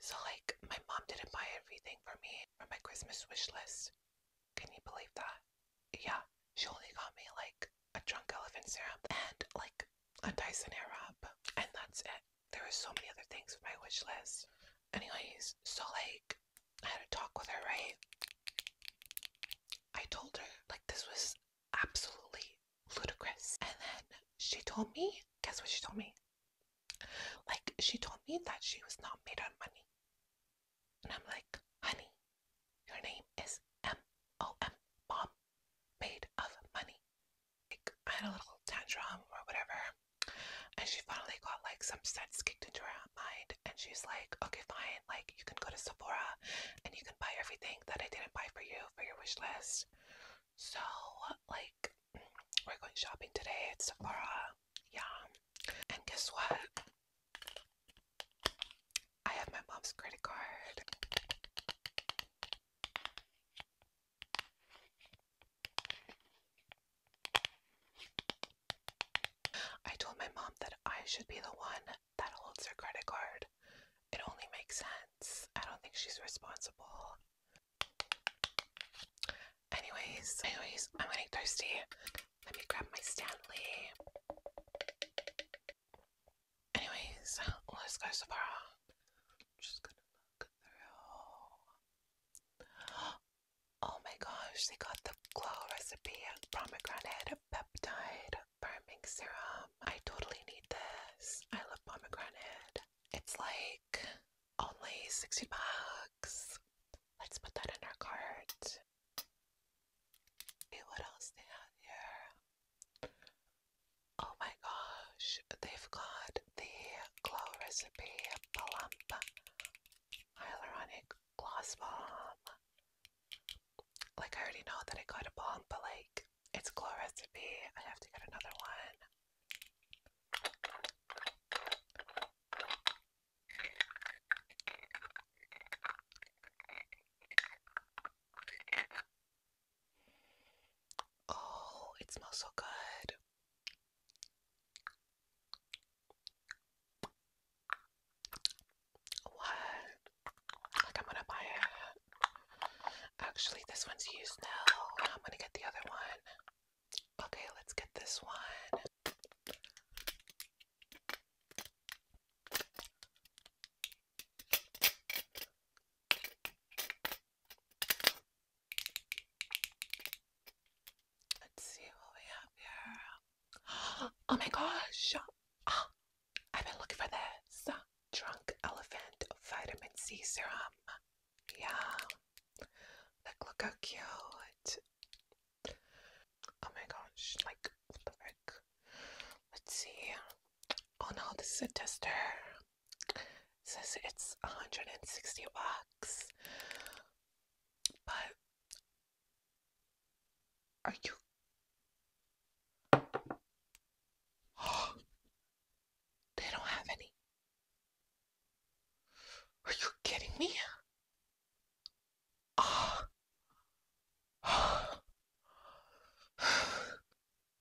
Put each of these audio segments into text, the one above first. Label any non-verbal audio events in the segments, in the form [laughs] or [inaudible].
So, like, my mom didn't buy everything for me for my Christmas wish list. Can you believe that? Yeah, she only got me like a drunk elephant syrup and like a Dyson Airwrap, and that's it. There were so many other things for my wish list. Anyways, so like, I had a talk with her, right? I told her like this was absolutely ludicrous, and then she told me, guess what she told me? Like, she told me that she was not made of money. And I'm like, honey, your name is M O M, mom, made of money. Like, I had a little tantrum or whatever. And she finally got like some sense kicked into her mind. And she's like, okay, fine. Like, you can go to Sephora and you can buy everything that I didn't buy for you for your wish list. So like we're going shopping today at Sephora. Yeah. And guess what? I have my mom's credit card. I told my mom that I should be the one that holds her credit card it only makes sense. I don't think she's responsible. Anyways, anyways, I'm getting thirsty. Let me grab my Stanley. Anyways, let's go so just gonna look through. [gasps] Oh my gosh, they got the glow recipe pomegranate peptide firming serum. I totally need this. I love pomegranate. It's like only 60 bucks. Let's put that in our cart. See what else they have here. Oh my gosh, they've got the Glow Recipe Plump Hyaluronic Gloss Bomb. Like, I already know that I got a bomb, but like, it's a cool recipe. I have to get another one. Oh, it smells so good. What? Like I'm gonna buy it. Actually, this one's used now. I'm gonna get the other one. Okay, let's get this one. Let's see what we have here. [gasps] Oh my gosh. Oh, I've been looking for this Drunk Elephant Vitamin C Serum. Yeah. look how cute. Oh my gosh. Like, what the frick? Let's see. Oh no, this is a tester. says it's 160 bucks. But are you? Oh, [gasps] they don't have any. Are you kidding me? Ah. [sighs] Oh.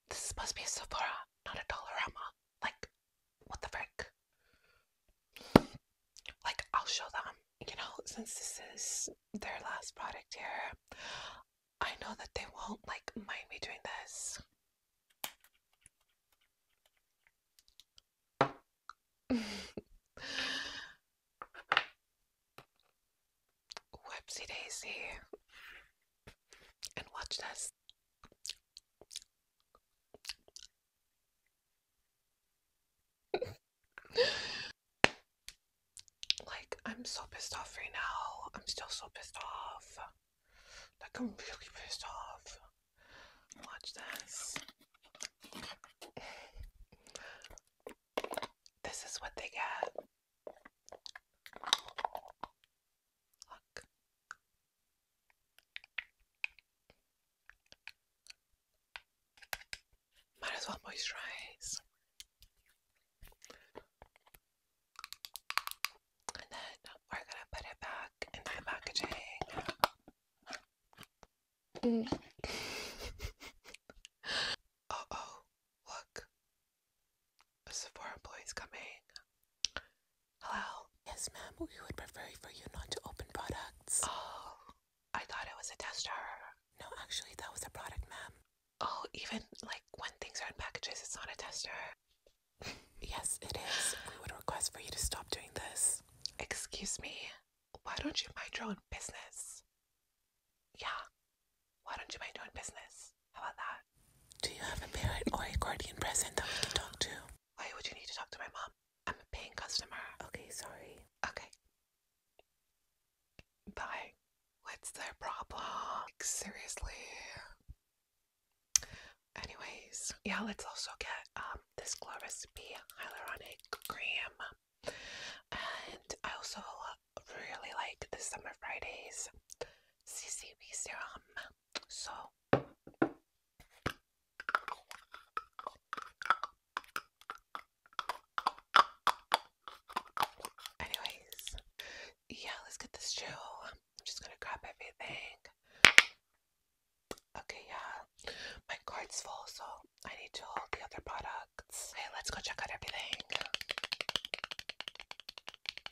This must be a Sephora, not a Dollarama. Like, what the frick? like I'll show them, you know, since this is their last product here, I know that they won't like mind me doing this. [laughs] Whoopsie daisy. And watch this like, I'm so pissed off right now. I'm still so pissed off. Like, I'm really pissed off. Watch this. This is what they get. Might as well moisturize. And then we're gonna put it back in the packaging. Mm. oh, oh, look. A Sephora employee's coming. Hello? Yes, ma'am. We would prefer for you not to open products. Oh, I thought it was a tester. No, actually, that was a product, ma'am. Oh, even like when things are in packages, it's not a tester. yes, it is. We would request for you to stop doing this. Excuse me. Why don't you mind your own business? Yeah. Why don't you mind doing business? How about that? Do you have a parent or a guardian present that we can talk to? Why would you need to talk to my mom? I'm a paying customer. Okay, sorry. Okay. Bye. What's their problem? Like, seriously. Anyways, yeah, let's also get um this Gloris B hyaluronic cream. And I also really like the summer Fridays CCB serum. So anyways, yeah, let's get this chill. I'm just gonna grab everything. Okay, yeah. My card's full, so I need to hold the other products. Okay, let's go check out everything.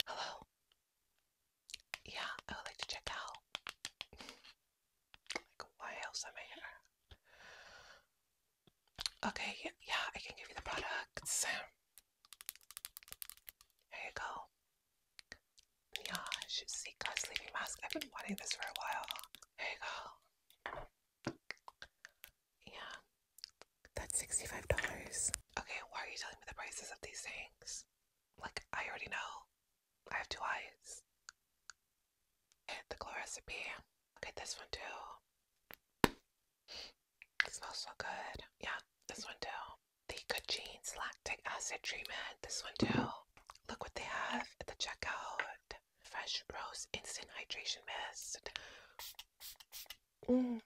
Hello. Yeah, I would like to check out. like, why else am I here? Okay, yeah, I can give you the products. There you go. Yeah, sleeping mask. I've been wanting this for a while. There you go. Yeah, that's $65. Okay, why are you telling me the prices of these things? Like, I already know. I have two eyes. Okay, the glow recipe. Look at this one too. smells so good. Yeah, this one too. The Good Lactic Acid Treatment. This one too. Look what they have at the checkout. Fresh Rose Instant Hydration Mist. Mm. [coughs] um,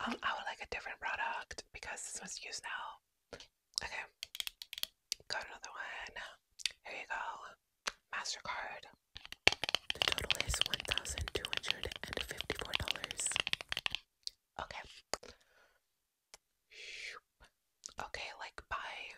I oh, would like a different product because this one's used now. Okay, got another one. Here you go. MasterCard. The total is $1,254. Okay. Okay, like by